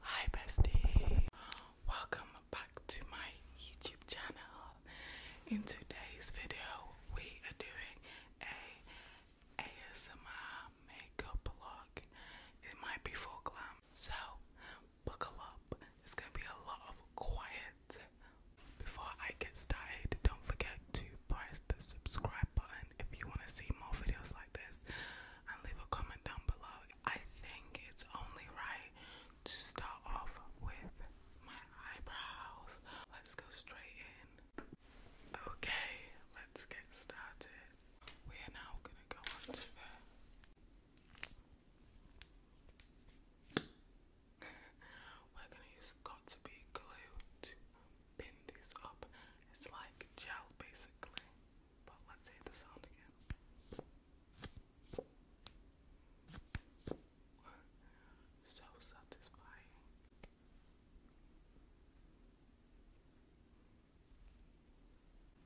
Hi bestie, welcome back to my YouTube channel. In today's video, we are doing a ASMR makeup vlog. It might be full glam, so buckle up. It's gonna be a lot of quiet. Before I get started, don't forget to press the subscribe button if you want to see more videos like this and leave a comment down below. I think it's only right to start off with my eyebrows. Let's go straight in. Okay, let's get started. We are now gonna go on We're gonna use got to be glue pin these up. It's like gel basically. But let's hear the sound again. So satisfying.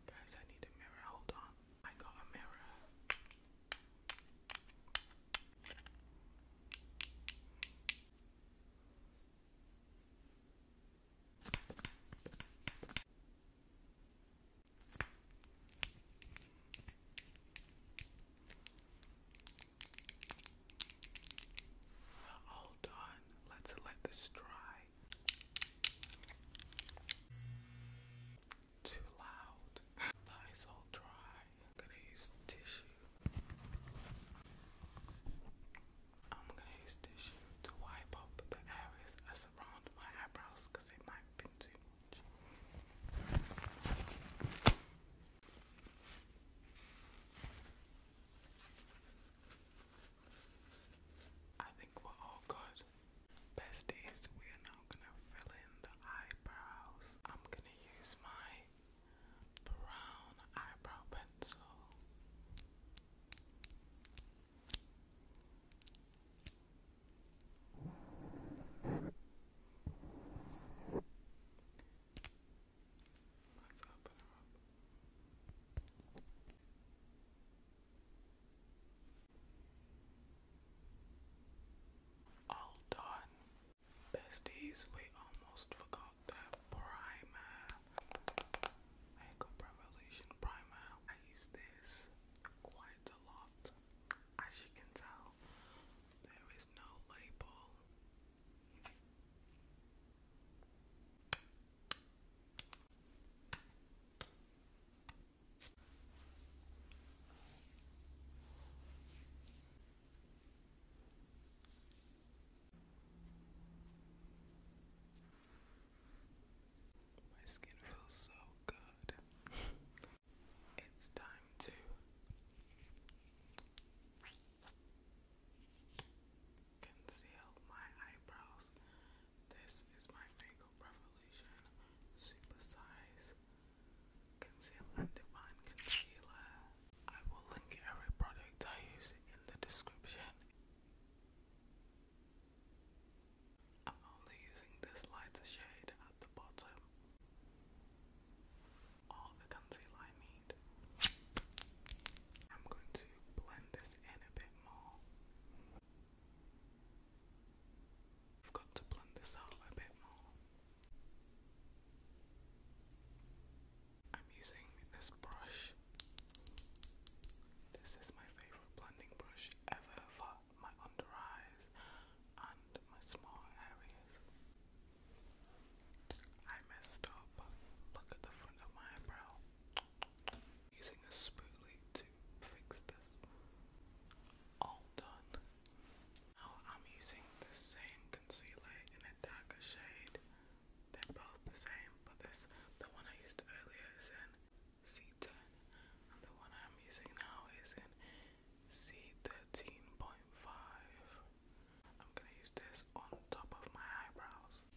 Guys, I need a mirror. Hold on. I got a mirror. All done. Let's let this dry. Too loud. That is all dry. gonna use tissue. I'm gonna use tissue to wipe up the areas that surround my eyebrows because it might be too much. I think we're all good. Best is we are now gonna fill in the eyebrows. I'm gonna use my brown eyebrow pencil. Let's open her up. All done. Besties, we almost forgot out the primer. Makeup Revolution primer. I use this quite a lot. As you can tell, there is no label. My skin feels so good. it's time to conceal my eyebrows. This is my Makeup Revolution Super Size Conceal Divine Concealer. I will link every product I use in the description. I'm only using this lighter shade at the bottom. All the concealer I need. I'm going to blend this in a bit more. I've got to blend this out a bit more. I'm using this brush. This is my favorite blending brush ever for my under eyes and my small areas. I messed up. Look at the front of my eyebrow. Using a spoolie to fix this. All done. Now I'm using the same concealer in a darker shade they're both the same, but this the one I used earlier is in C10 and the one I'm using now is in C13.5. I'm gonna use this on top of my eyebrows.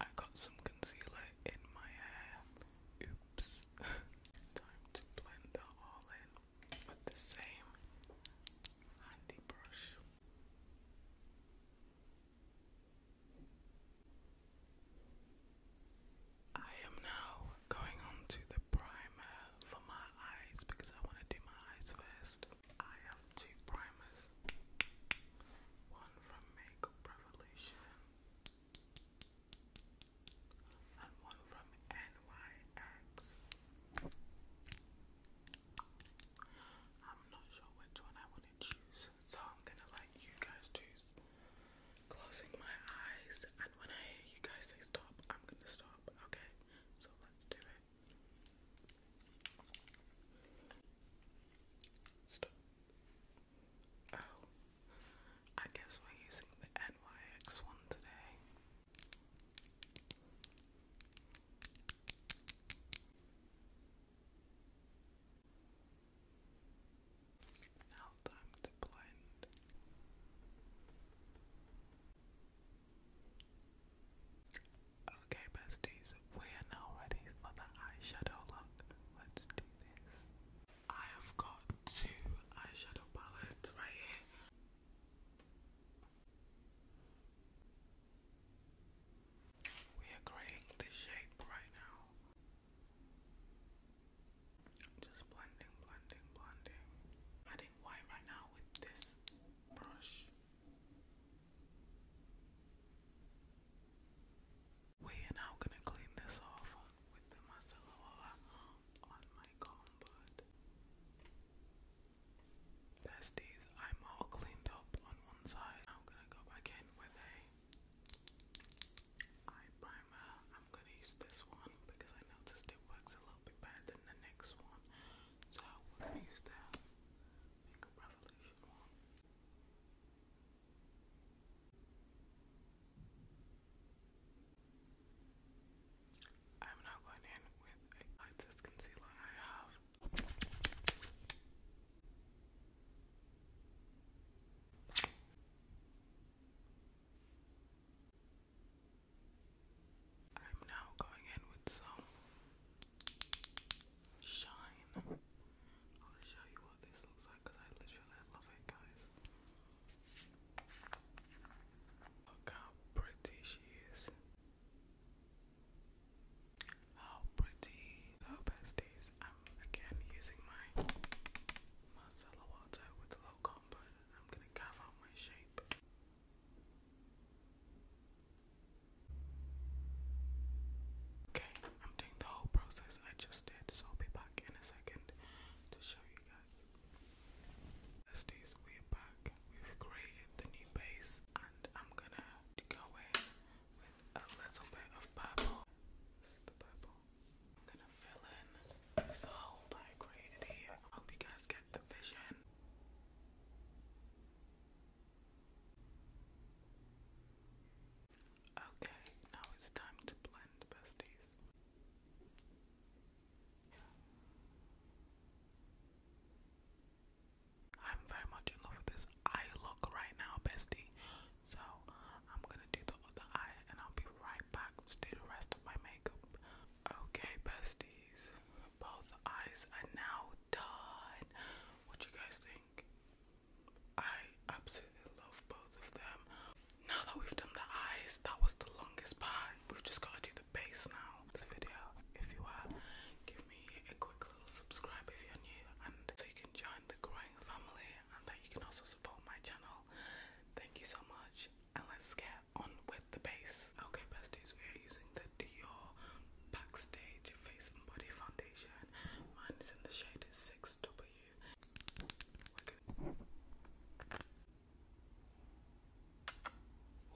I got some concealer in my hair. Oops. Time to blend that all in with the same handy brush. I am now going on to the primer for my eyes because I want to do my eyes first. I have two primers. One from Makeup Revolution and one from NYX. I'm not sure which one I want to choose, so I'm gonna let you guys choose. Closing my eyes, and when I hear you guys say stop, I'm gonna stop, okay? So let's do it. Stop. Oh, I guess we're using the NYX one today. Now, time to blend. Okay, besties, we are now ready for the eyeshadow look. Let's do this. I have got two eyeshadow palettes right here. We are creating the shape right now. Just blending, blending, blending. Adding white right now with this brush. We are now gonna clean this off with the masala on my comb, besties, I'm all cleaned up on one side. I'm gonna go back in with a eye primer. I'm gonna use this one because I noticed it works a little bit better than the next one. So we're gonna use that like a I'm now going in with a lightest concealer I have. I'm now going in with some Shine. I want show you what this looks like because I literally love it, guys. Look how pretty she is. How pretty. So, besties, I'm again using my Marcella water with a low I'm going to carve my shape. Okay, I'm doing the whole process I just did, so I'll be back in a second to show you guys. Besties, we're back. We've created the new base, and I'm gonna go in with a little bit of purple. This is the purple. I'm gonna fill in this hole I created here. hope you guys get the vision. Okay, now it's time to blend, besties. I'm very much in love with this eye look right now, bestie. So I'm gonna do the other eye and I'll be right back to do the rest of my makeup. Okay, besties. Both eyes are now done. What you guys think? I absolutely love both of them. Now that we've done the eyes, that was the longest part. We've just got to do the base now. This video, if you are, give me a quick subscribe if you're new, and so you can join the growing family, and that you can also support my channel. Thank you so much, and let's get on with the base. Okay, besties, we are using the Dior Backstage Face and Body Foundation. Mine is in the shade 6W. we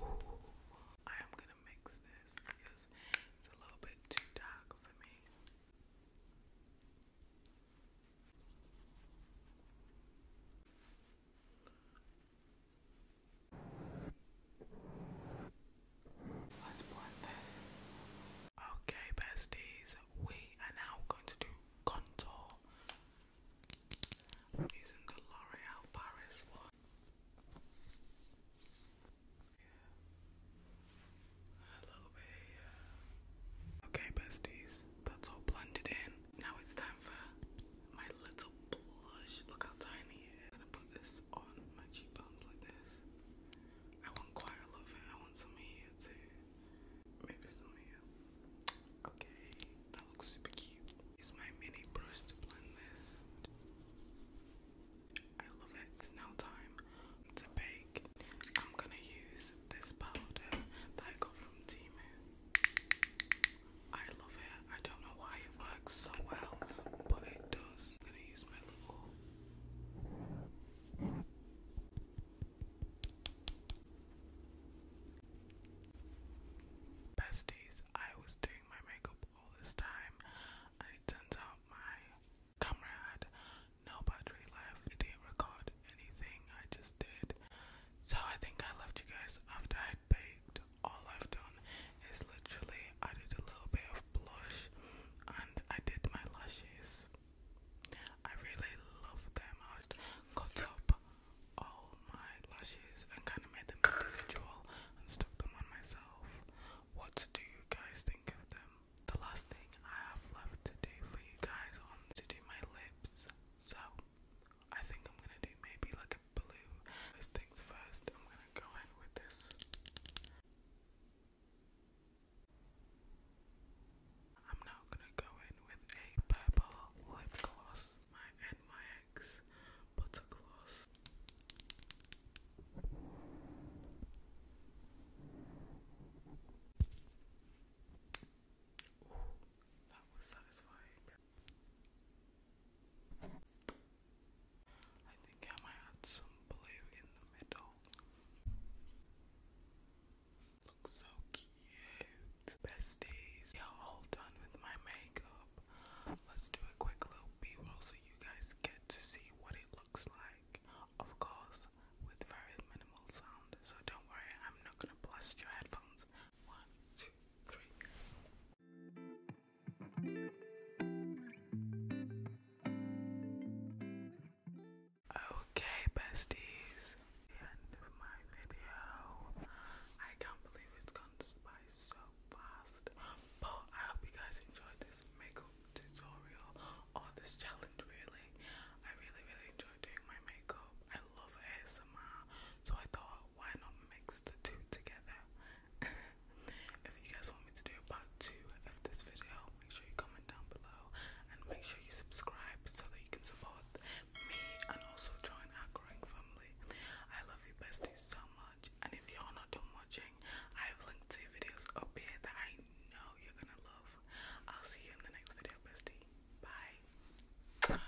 am gonna mix this because it's a little bit too dark for me. Okay, besties, we are now going to do contour. using the L'Oreal Paris one. Okay, besties, that's all blended in. Now it's time my little blush. Look how tiny it is. I'm gonna put this on my cheekbones like this. I want quite a lot I want some here too. Maybe some here. Okay, that looks super cute. Use my mini brush to blend this. I love it. It's now time to bake. I'm gonna use this powder that I got from Timu. I love it. I don't know why it works so well, but it does. gonna use my little. Besties, I was doing my makeup all this time, and it turns out my camera had left. It didn't record anything I just did. So I think I left you guys after I baked all I've done is literally I did a little bit of blush and I did my lashes. I really love them. I just cut up all my lashes and kind of made them individual and stuck them on myself. What do you guys think of them? The last thing I have left to do for you guys on to do my lips. So I think I'm gonna do maybe like a blue. As thing's first. I'm gonna go in with this. I'm now gonna go in with a purple lip gloss, my NYX butter gloss. that was satisfying. I think I might add some blue in the middle. Looks so cute. Besties, yeah, I'm all done with my makeup. Let's do a quick little b-roll so you guys get to see what it looks like. Of course, with very minimal sound. So don't worry, I'm not gonna blast your headphones. Okay, besties. The end of my video. I can't believe it's gone by so fast. But I hope you guys enjoyed this makeup tutorial or this challenge really. I really really enjoy doing my makeup. I love ASMR. So I thought why not mix the two together? if you guys want me to do part two of this video, make sure you comment down below and make sure you subscribe so that you can support me and also join our growing family. I love you bestie, so much, and if you're not done watching, I have linked two videos up here that I know you're gonna love. I'll see you in the next video, bestie. Bye.